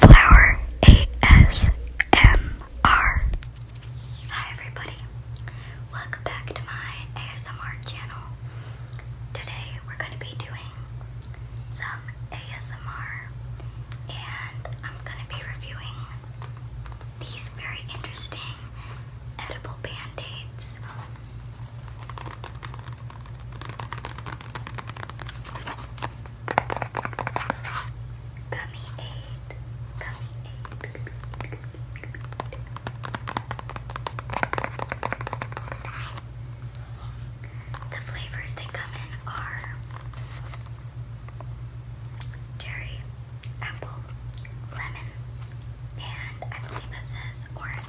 Flower ASMR. Hi everybody. Welcome back to my ASMR channel. Today we're going to be doing some ASMR and I'm going to be reviewing these very interesting edible band-aids. Gummy aid, gummy aid. The flavors they come in are cherry, apple, lemon, and I believe that says orange.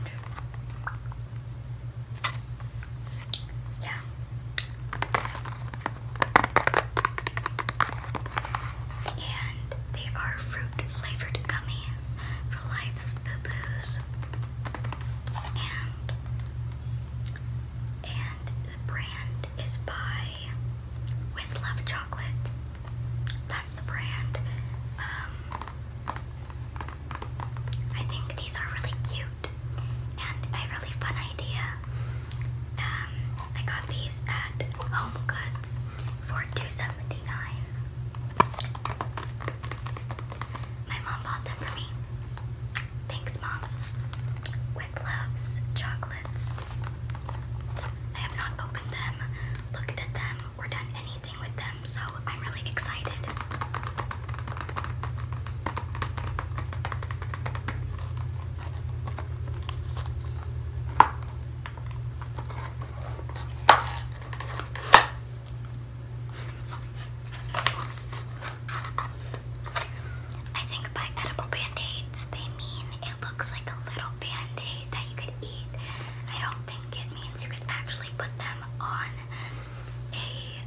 Yeah. And they are fruit flavored gummies for life's boo boos. And and the brand is by With Love Chocolates. That's the brand. Um, I think these are really cute and a really fun idea. Um, I got these at Home Goods for 2 My mom bought them for me. Thanks, Mom. With loves chocolates. I have not opened them, looked at them, or done anything I'm really excited. I think by edible band-aids they mean it looks like a little band-aid that you could eat. I don't think it means you can actually put them on a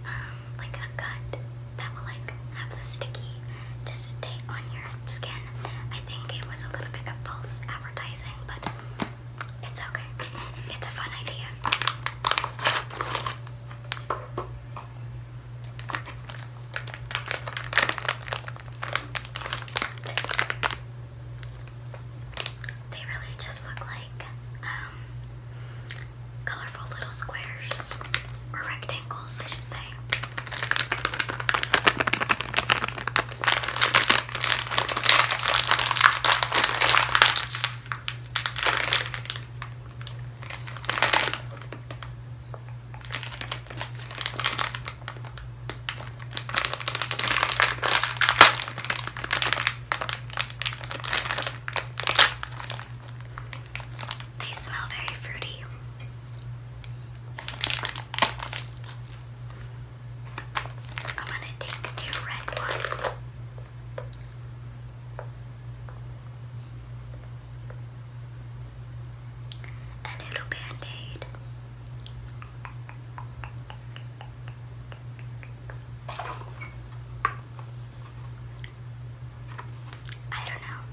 um, like a cut that will like have the sticky to stay on your skin. I think it was a little bit of false advertising, but it's okay. It's a fun idea. They really just look like um, colorful little squares or rectangles, I should say. They smell very fruity. I'm going to take the red one a little band aid. I don't know.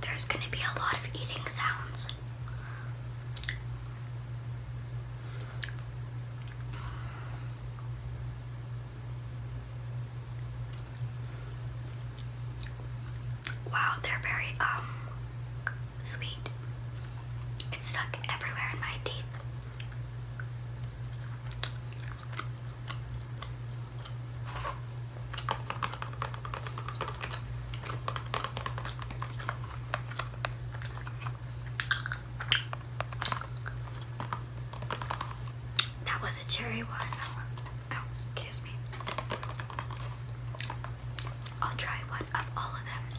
There's going to be a lot of eating sounds. Wow, they're very um sweet. It's stuck everywhere in my teeth. That was a cherry one. Oh, excuse me. I'll try one of all of them.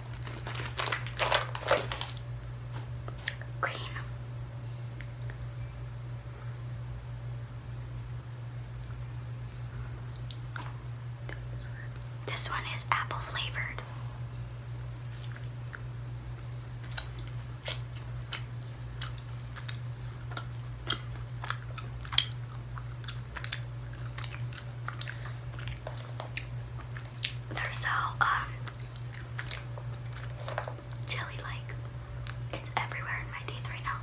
Green. This one is apple flavored they're so um jelly like. It's everywhere in my teeth right now.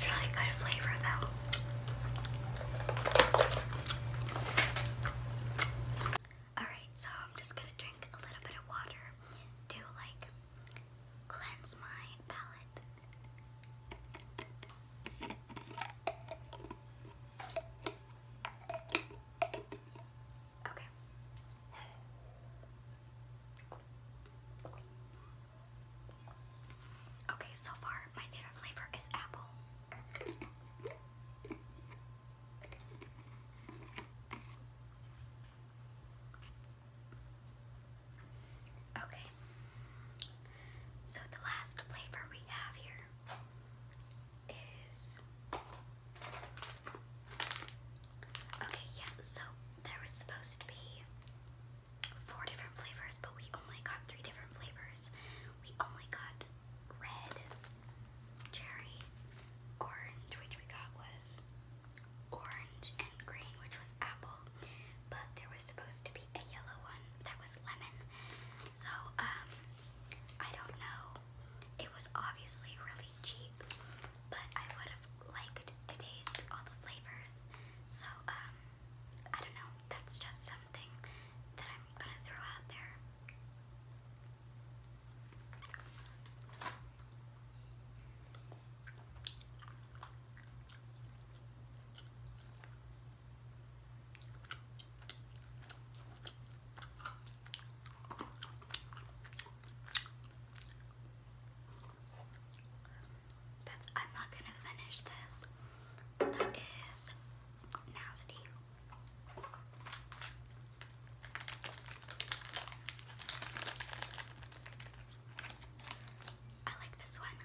really good flavor though. Alright, so I'm just gonna drink a little bit of water to like cleanse my palate. Okay. Okay, so far my favorite flavor is apple. Okay, so the last flavor we have here is Okay, yeah, so there was supposed to be four different flavors, but we only got three different flavors. We only got red, cherry, orange, which we got was orange, and green, which was apple but there was supposed to be a yellow one that was lemon. So, um, I don't know. It was obviously really cheap, but I would have liked to taste all the flavors. So, um, I don't know. That's just something that I'm gonna throw out there. That's, I'm not going to finish this. That is nasty. I like this one.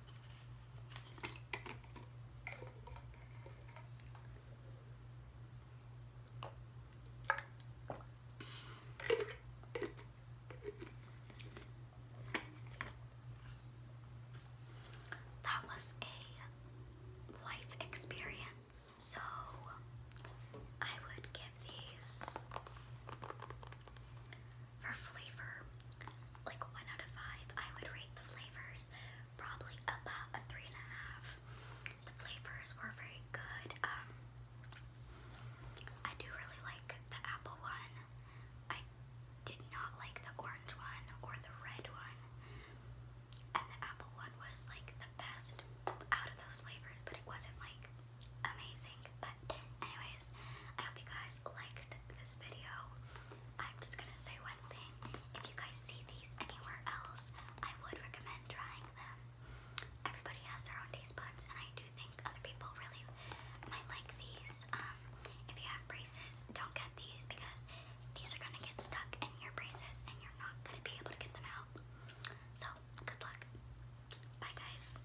That was a life experience. So I would give these for flavor, like one out of five, I would rate the flavors probably about a three and a half. The flavors were very good. Um, I do really like the apple one. I did not like the orange one or the red one. And the apple one was like the best out of those flavors, but it wasn't like amazing anyways, I hope you guys liked this video. I'm just gonna say one thing. If you guys see these anywhere else, I would recommend trying them. Everybody has their own taste buds, and I do think other people really might like these. Um, if you have braces, don't get these because these are gonna get stuck in your braces and you're not gonna be able to get them out. So, good luck. Bye, guys.